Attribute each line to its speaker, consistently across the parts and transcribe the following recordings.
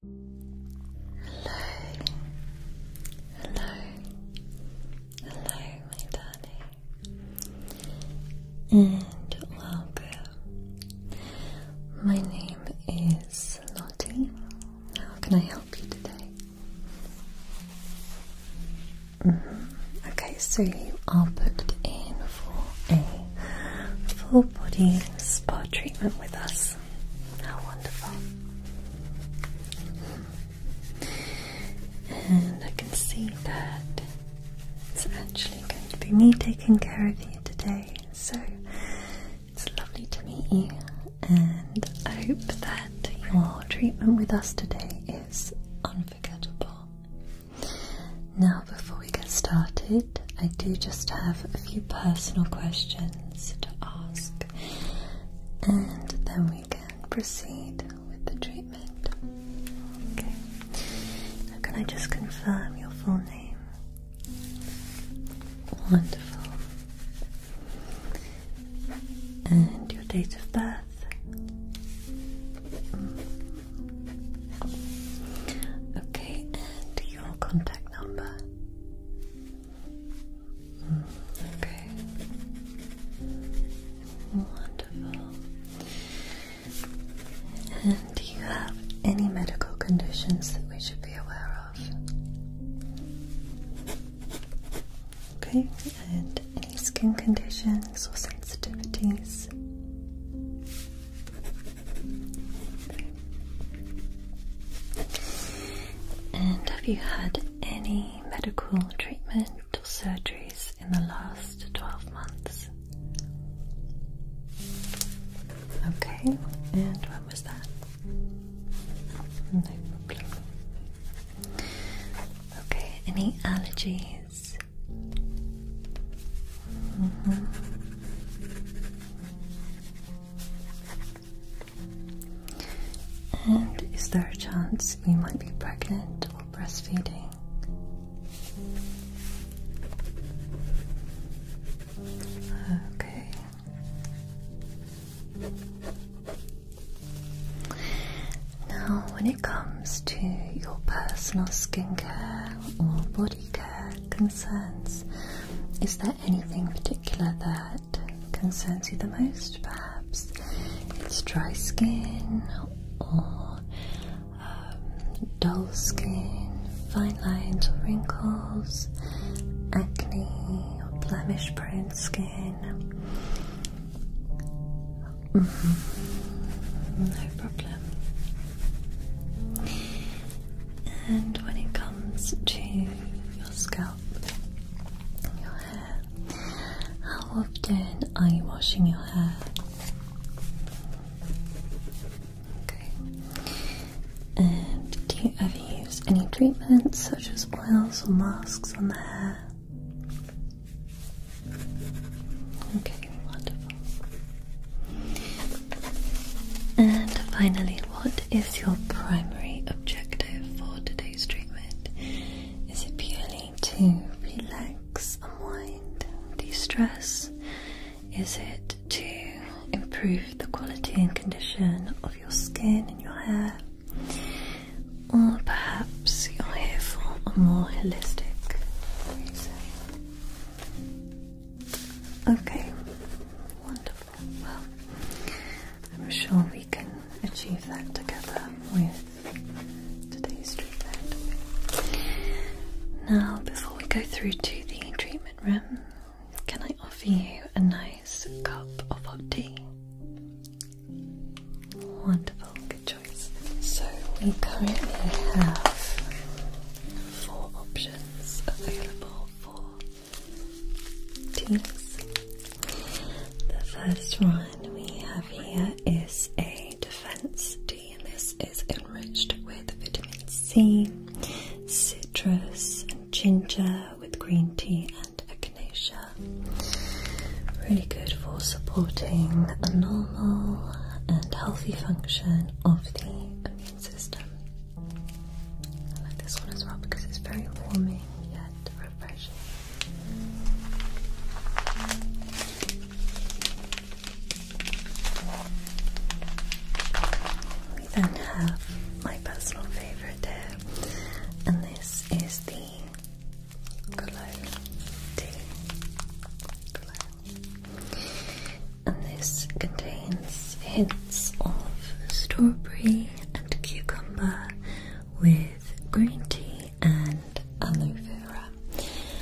Speaker 1: hello, hello, my darling, and welcome. My name is Lottie. How can I help you today? Mm-hmm. Okay, so you are booked in for a full body spa treatment with us. How wonderful. And I can see that it's actually going to be me taking care of you today. So it's lovely to meet you, and I hope that your treatment with us today is unforgettable. Now, before we get started, I do just have a few personal questions to ask, and then we can proceed with the treatment. Okay. can I just confirm your full name? Wonderful. And your date of birth? Okay, and your contact number? Okay. Wonderful. And do you have any medical conditions that we should be aware of? Okay, and any skin conditions or sensitivities? And have you had any medical treatment or surgeries in the last 12 months? Okay, and when was that? No problem. Okay, any allergies? Mm-hmm. And is there a chance you might be pregnant or breastfeeding? Okay. Now, when it comes to your personal skincare or body care concerns, is there anything particular that concerns you the most? Perhaps it's dry skin or um, dull skin, fine lines or wrinkles, acne or blemish prone skin. Mm-hmm. No problem. And when it comes to your scalp, your hair. How often are you washing your hair? Okay. And do you ever use any treatments such as oils or masks on the hair? Okay, wonderful. And finally, what is your primary objective for today's treatment? Is it purely to relax, unwind, de stress? Is it to improve the quality and condition of your skin and your hair? Or perhaps you're here for a more holistic reason? Okay, wonderful. Well, I'm sure we can achieve that together with today's treatment. Now, before we go through to the treatment room, can I offer you a nice cup of hot tea? Wonderful, good choice. So, we currently have four options available for teas. The first one we have here is a defense tea, and this is enriched with vitamin C, citrus, and ginger with green tea and echinacea. Really good for supporting a normal and healthy function of the system. I like this one as well because it's very warming yet refreshing. We then have my personal favourite here, and this is the cologne And this contains hints of strawberry and cucumber with green tea and aloe vera.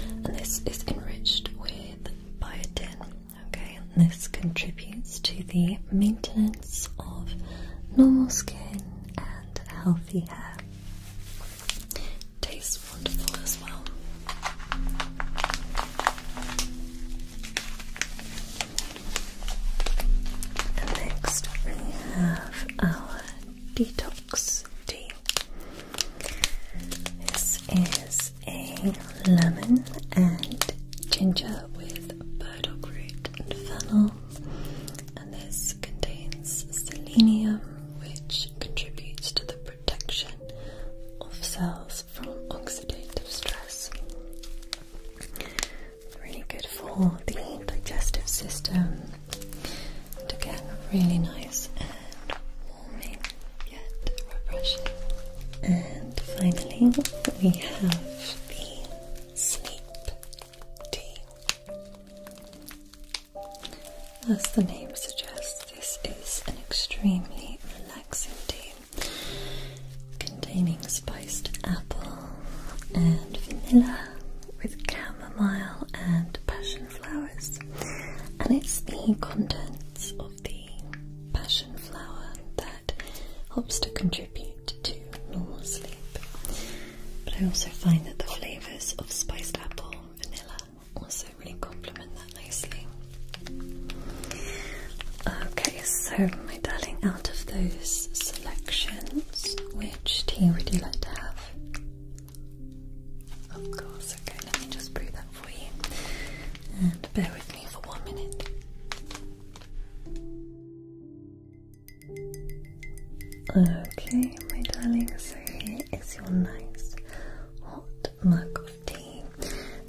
Speaker 1: And this is enriched with biotin. Okay, and this contributes to the maintenance of normal skin and healthy hair. Tastes wonderful as well next we have our detox tea. This is a lemon and ginger with burdock root and fennel, and this contains selenium, which contributes to the protection of cells from oxidative stress really good for the digestive system. And again, really nice and warming yet refreshing. And finally, we have the sleep tea. As the name suggests, this is an extremely relaxing tea containing spiced apple and vanilla with chamomile and passion flowers. And it's the contents of the passion flower that helps to contribute to normal sleep. But I also find that the flavours of spiced apple, vanilla also really complement that nicely. Okay, so my darling, out of those selections, which tea would you like to have? Of course, okay, let me just brew that for you. And bear with me for one minute. Okay, my darling, so here is your nice hot mug of tea.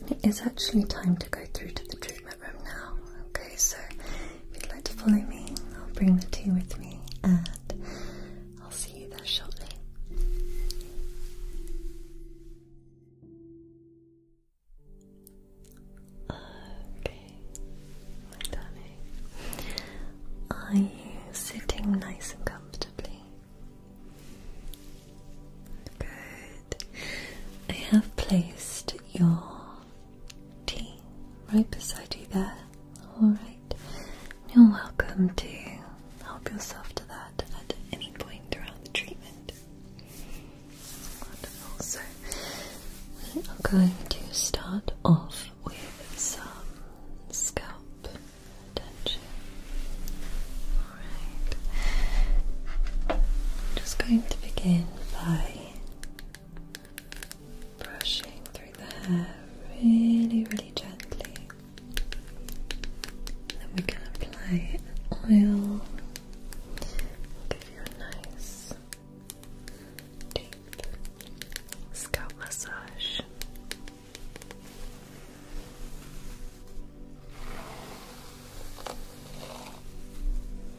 Speaker 1: And it is actually time to go through to the treatment room now. Okay, so if you'd like to follow me, I'll bring the tea with me and I'll see you there shortly. Okay, darling. Are you sitting nice and comfortably? Good. I have placed your tea right beside you there. Alright. You're welcome to help yourself to that at any point throughout the treatment. Wonderful. So we are going to start off with some scalp tension. Alright. Just going to begin by brushing through the hair really, really gently. Then we can apply oil. give you a nice deep scalp massage.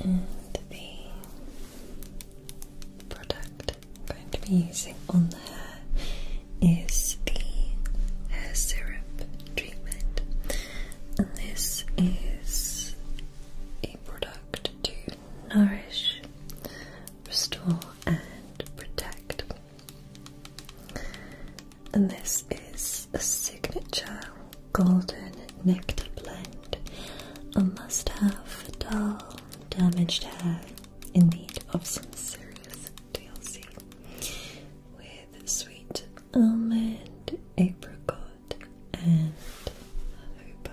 Speaker 1: and the product I'm going to be using on the hair is the hair syrup treatment and this is a product to nourish, restore and protect and this is a signature golden nectar blend, a must-have for dull, damaged hair in need of some serious DLC, with sweet almond, apricot, and hoba.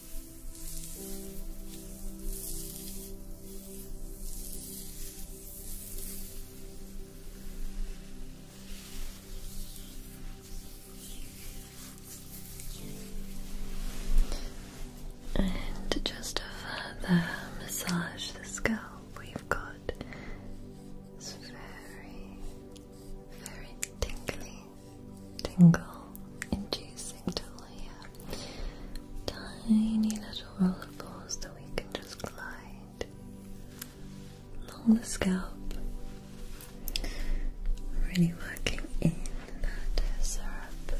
Speaker 1: And just to further massage the scalp, we've got it's very, very tingly tingle inducing to layer tiny little roller that we can just glide along the scalp. Really working in that syrup.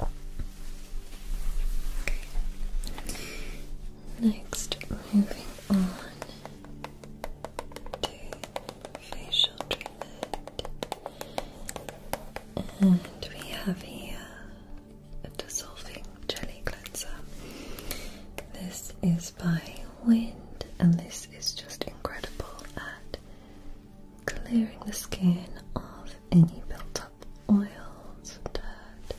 Speaker 1: Okay. Next, moving on to facial treatment. And we have here a dissolving jelly cleanser. This is by Wind, and this is just incredible at clearing the skin of any buildup up oils and dirt,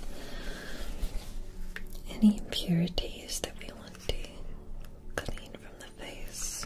Speaker 1: any impurities that we want to clean from the face.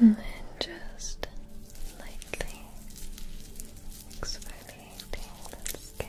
Speaker 1: And then just lightly exfoliate creating the skin.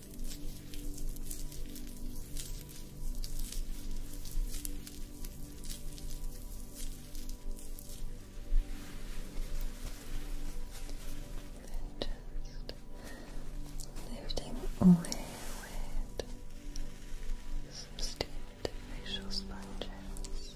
Speaker 1: Then just lifting away with some steamed facial sponges.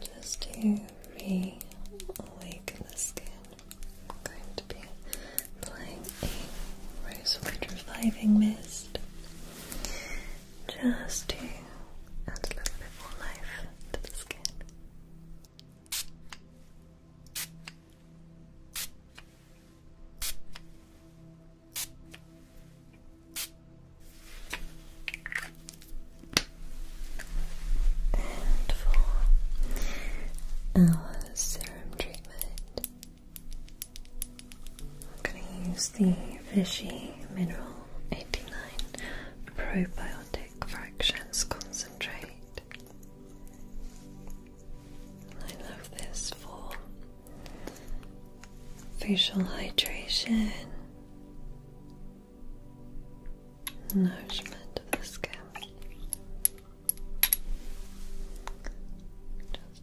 Speaker 1: Just to re the skin, I'm going to be applying a rosewood reviving mist just to add a little bit more life to the skin. And for our serum treatment, I'm going to use the Vichy Mineral 89 Probiotic Fractions Concentrate. I love this for facial hydration, nourishment of the skin. Just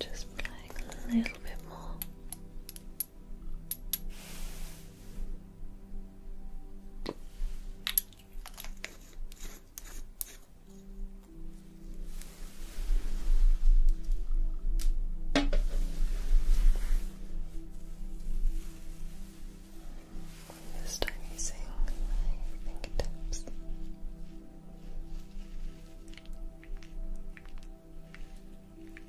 Speaker 1: Just applying a little bit more. This time using my fingertips.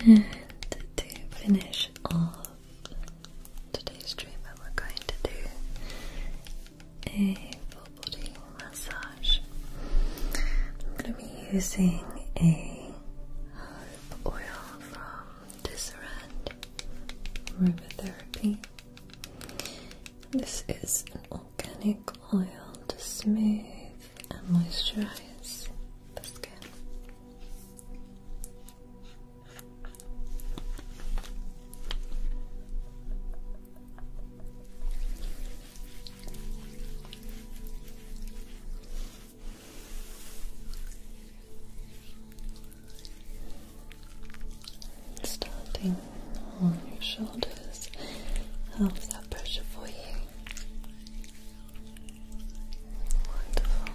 Speaker 1: And to finish off today's treatment, I'm going to do a full body massage. I'm going to be using a oil Disarand Aromatherapy. This is an organic oil to smooth and moisturize the skin. Starting on your shoulders helps that pressure for you. Wonderful.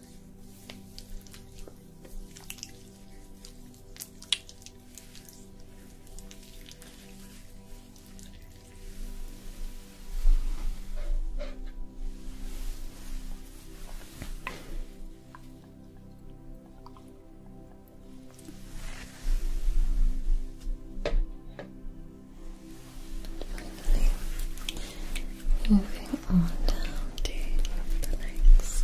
Speaker 1: Moving on down to the legs.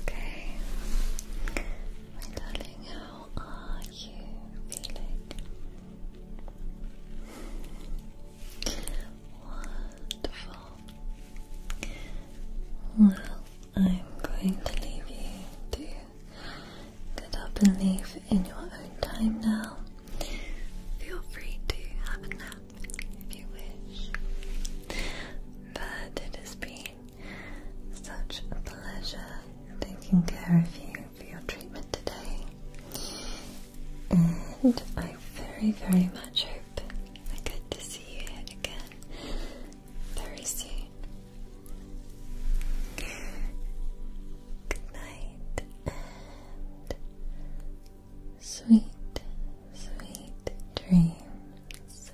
Speaker 1: Okay, my darling, how are you feeling? Wonderful. Well, I'm going to leave you to get up and leave in your own time now. Feel free to have a nap if you wish. But it has been such a pleasure taking care of you for your treatment today. And I very, very much hope I get to see you again very soon. Good night sweet, sweet dreams.